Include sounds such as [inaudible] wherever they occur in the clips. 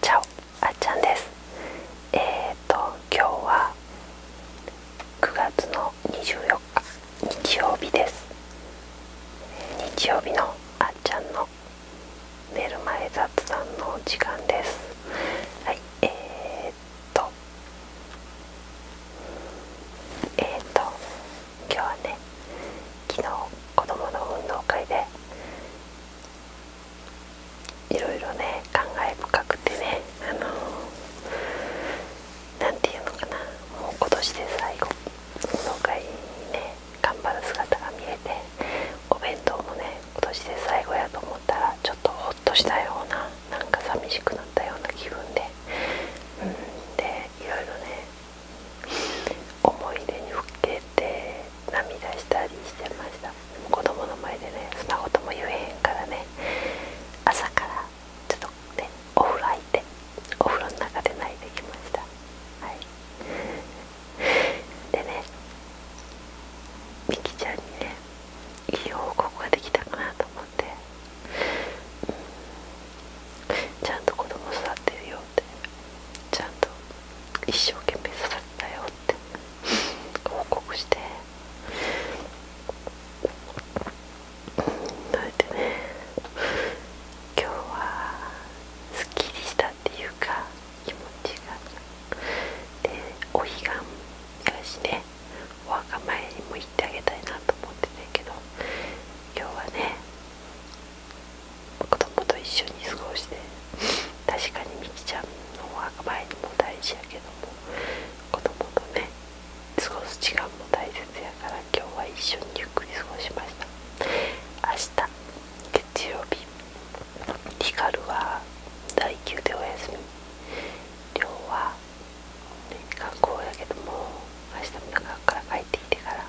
チャオあっちゃんですえっ、と今日は9月の24日日曜日です日曜日のあっちゃんの寝る前雑談の時間ですはいえっとえっと今日はね昨日子どの運動会でいろいろね感慨深くてねあの何、て言うのかなもう今年で最後運動会にね頑張る姿が見えてお弁当もね今年で最後やと思ったらちょっとほっとしたようななんか寂しくなったような気分でうんでいろいろね思い出にふけて涙したりしてました子供の前でねそんなことも言えへんからね朝からちょっとねお風呂入ってお風呂の中で泣いてきましたはいでね美きちゃんにねいい報告ができたかなと思って、ちゃんと子供育てるよってちゃんと一生懸命刺さったよって報告してそれでね今日はすっきりしたっていうか気持ちがでお彼岸やしねお墓参りも行ってあげたいなと思ってたけど今日はね子供と一緒に過ごして確かにみきちゃんのは前にも大事やけども子供とね過ごす時間も大切やから今日は一緒にゆっくり過ごしました明日月曜日リカルは第9でお休み寮は、学校やけども明日も学から帰ってきてから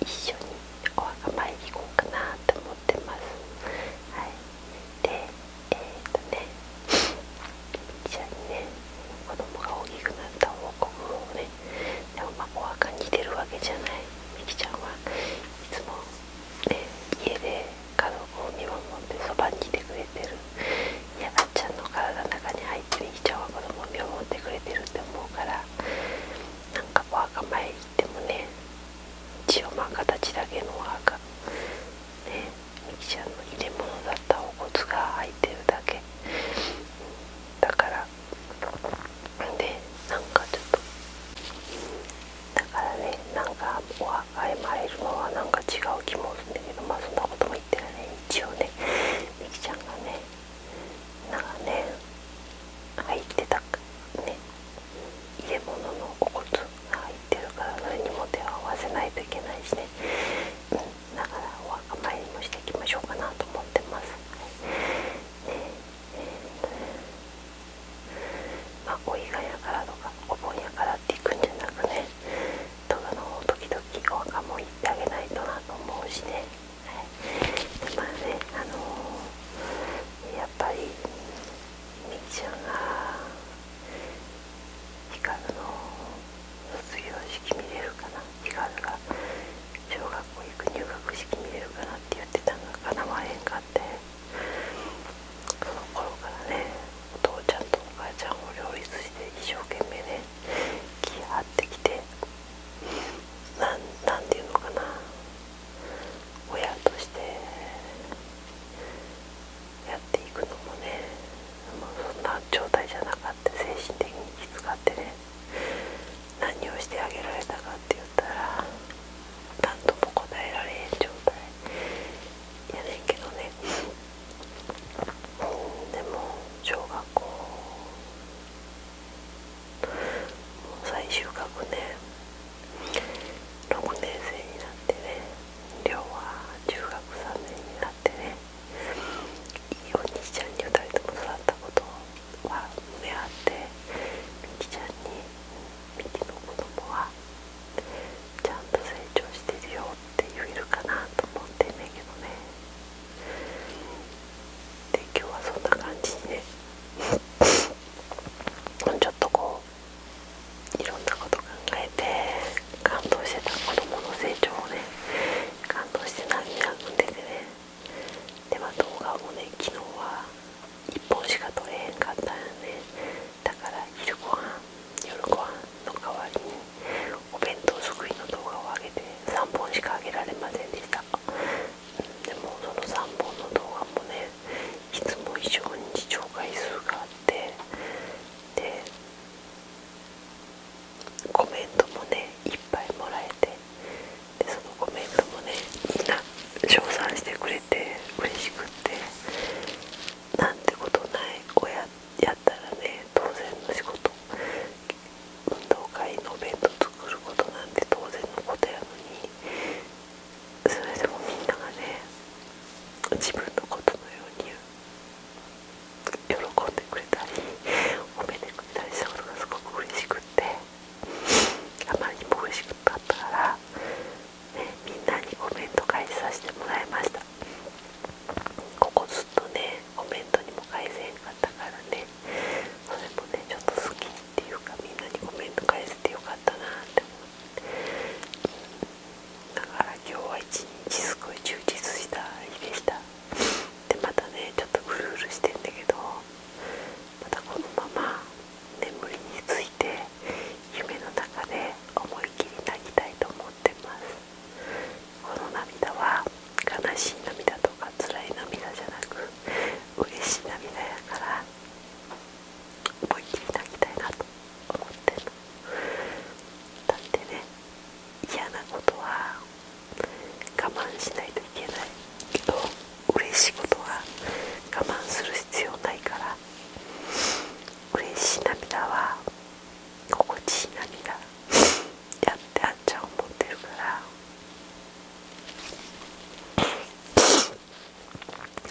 一緒にお墓参り行こうかなと思ってますはいでえっとね一緒にね子供が大きくなった報告をねでもまあお墓に出るわけじゃないみきちゃんはいつもね家で家族を見守ってそばにいてくれてるいやあっちゃんの体の中に入ってみきちゃんは子供を見守ってくれてるって思うからなんかお墓参り行ってもね一応まあ形だけのお墓ねみきちゃんの入れ物だったお骨が入ってるだけだからねなんかちょっとだからねなんかお墓へ参るのはなんか違う気もするんだけどまあそんなことも言ってるね一応ねみきちゃんがねなんかね入ってたね入れ物のお骨が入ってるからそれにも手を合わせないといけないしね、うん、だからお墓参りもしていきましょうかなと思ってます。はいねえーまお伊賀やからとかお盆やからっていくんじゃなくね戸田の方時々お墓も行ってあげないとなと思うしね。はい、まあねあのやっぱりちゃんが。ヒかずの卒業式見れるかなヒかずが小学校行く入学式見れるかなって言ってたのがかなわへんかってその頃からねお父ちゃんとお母ちゃんを両立して一生懸命ね気張ってきて何ていうのかな親としてやっていくのもねもうそんな状態じゃなかった精神的にきつかってね何をしてあげられたかって言ったら何とも答えられへん状態やねんけどねでも小学校最終学ね。6年生になってね亮は中学3年になってねいいお兄ちゃんに2人とも育ったことは胸あってみきちゃんにみきの子供はちゃんと成長してるよって言えるかなと思ってんねんけどねで今日はそんな感じで。ちょっとこういろんなこと考えて感動してた子供の成長をね感動して涙ぐんでてねでま動画もね昨日は1本しか撮れへんかったんよねだから昼ごはん夜ごはんの代わりにお弁当作りの動画を上げて3本しか上げられませんでしたでもその3本の動画もねいつも以上に視聴回数があってでコメントもねいっぱいもらえてでそのコメントもねみんな賞賛してくれて嬉しくってなんてことない親やったらね当然の仕事運動会のお弁当作ることなんて当然のことやのにそれでもみんながね自分のことのように喜んでくれたり褒めてくれたりしたことがすごく嬉しくってあまりにも嬉しくなったから、みんなにコメント返しさせてもらいましたここずっとねコメントにも返せへんかったからねそれもねちょっと好きにっていうかみんなにコメント返せてよかったなって思ってだから今日は一日すごい充実した日でした [laughs] でまたねちょっとウルウルしてんだけどまたこのまま眠りについて夢の中で思いっきり泣きたいと思ってますこの涙は悲しい涙とか辛い涙じゃなく嬉しい涙やから思いっきり泣きたいなと思ってるだってね嫌なことは我慢しないといけないけど嬉しいことは我慢する必要ないから嬉しい涙は心地いい涙やってあんちゃん思ってるから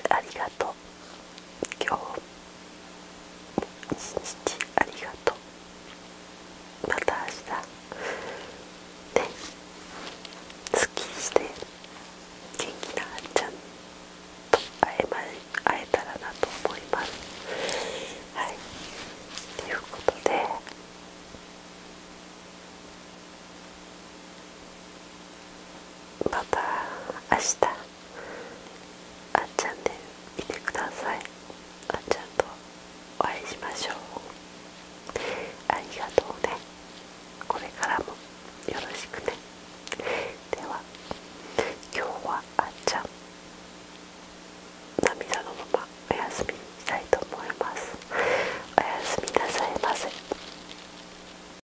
ありがとう今日一日ありがとうまた明日ねすっきして元気なあんちゃんと会え,、ま、会えたらなと思いますはいということでまた明日あっちゃんで見てくださいあっちゃんとお会いしましょうありがとうねこれからもよろしくねでは今日はあっちゃん涙のままお休みにしたいと思いますおやすみなさいませ